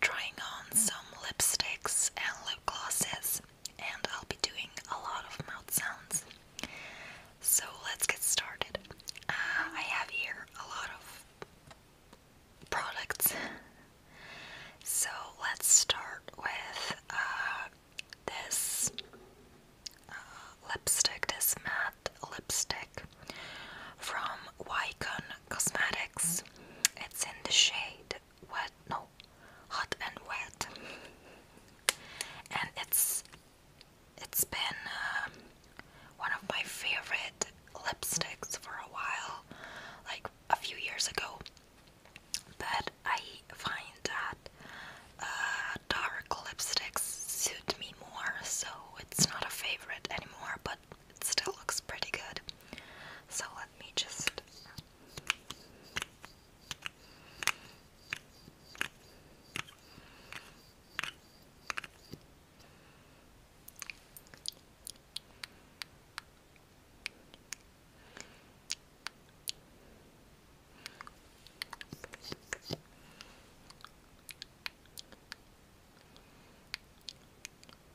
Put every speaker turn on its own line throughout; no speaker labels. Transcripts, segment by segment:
trying on some lipsticks and lip glosses, and I'll be doing a lot of mouth sounds. So let's get started. Uh, I have here a lot of products. So let's start with uh, this uh, lipstick, this matte lipstick from Wycon Cosmetics. It's in the shade Wet, no, Hot and Wet, and it's it's been um, one of my favorite lipsticks for a while, like a few years ago. But I find that uh, dark lipsticks suit me more, so it's not a favorite anymore. But it still looks pretty good. So let me just.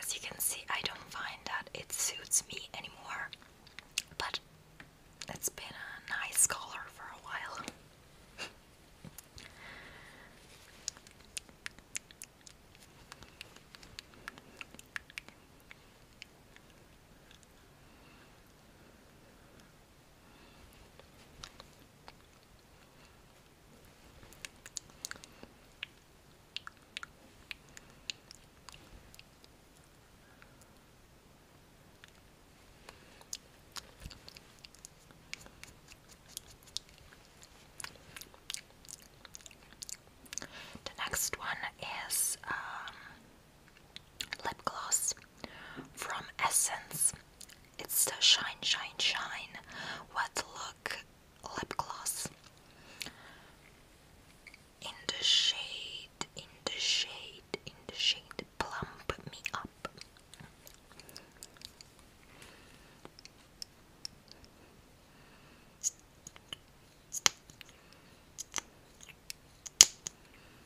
As you can see, I don't find that it suits me anymore, but it's been a nice color for a while. The next one is um, lip gloss from Essence. It's the Shine Shine Shine Wet Look Lip Gloss in the shade, in the shade, in the shade Plump Me Up.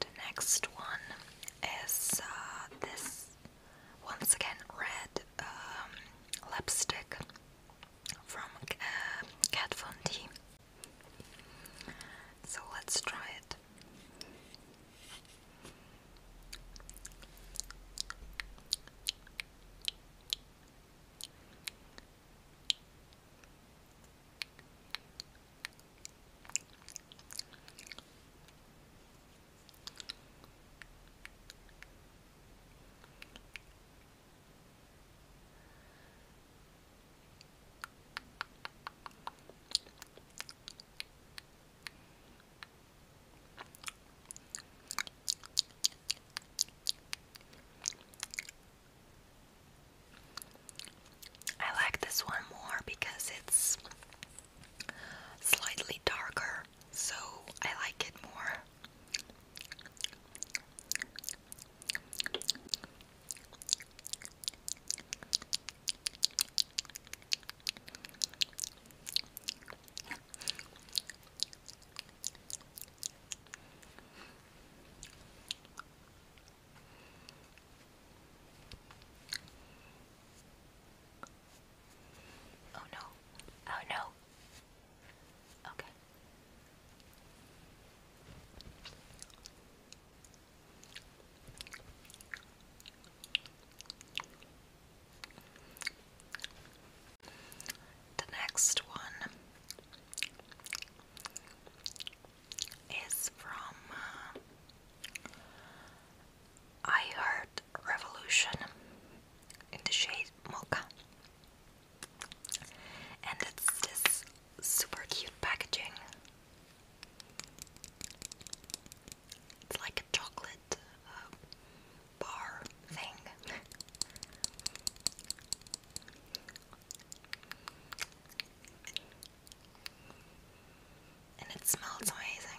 The next one is uh, this once again red um, lipstick from uh, Kat So let's try it. I like this one more because it's slightly darker so I like it more. Oh no. Oh no. Okay. The next one is from uh, I heard Revolution in the shade Mocha, and it's this super cute packaging. It's like a chocolate uh, bar thing. And it smells amazing.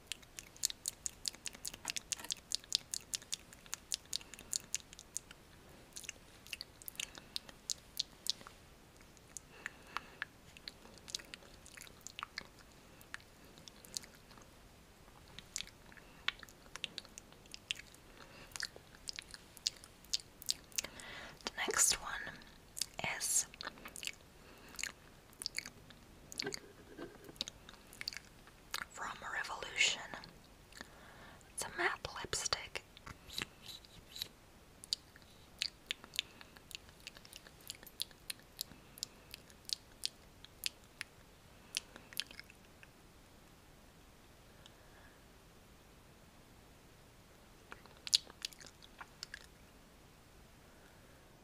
The next one is from Revolution. It's a matte lipstick.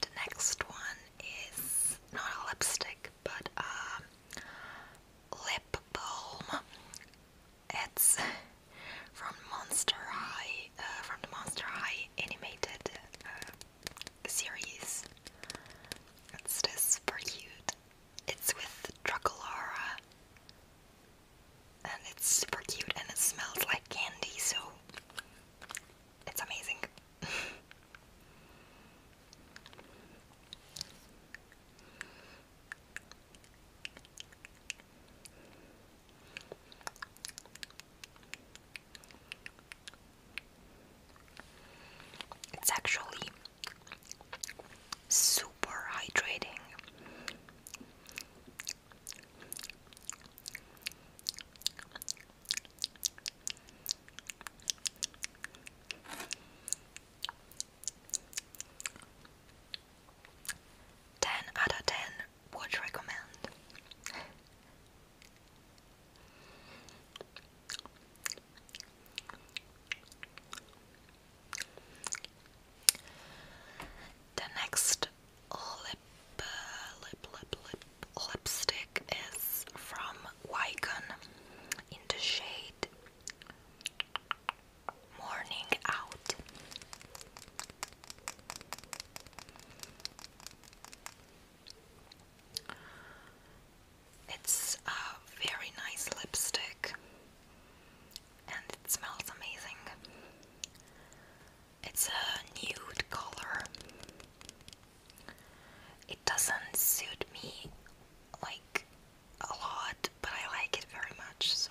The next one is not a lipstick but a lip balm. It's from Monster High, uh, from the Monster High animated uh, series. It's this cute. It's with Truckalara. And it's super cute and it smells like candy, so it's amazing. It's actually super hydrating. Ten out of ten would recommend. The next lip, lip, lip, lip, lipstick is from Wycon in the shade Morning Out. It's a very nice lipstick and it smells amazing. It's a nude color. It doesn't suit me like a lot, but I like it very much so.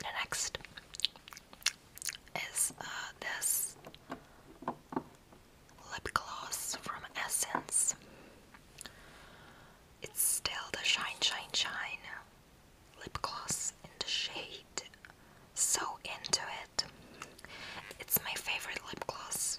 The next is uh, this lip gloss from Essence. It's still the Shine Shine Shine lip gloss in the shade. So into it. It's my favorite lip gloss.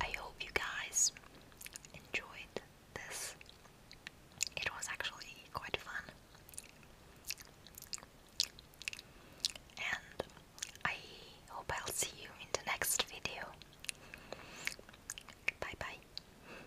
I hope you guys enjoyed this. It was actually quite fun. And I hope I'll see you in the next video. Bye bye.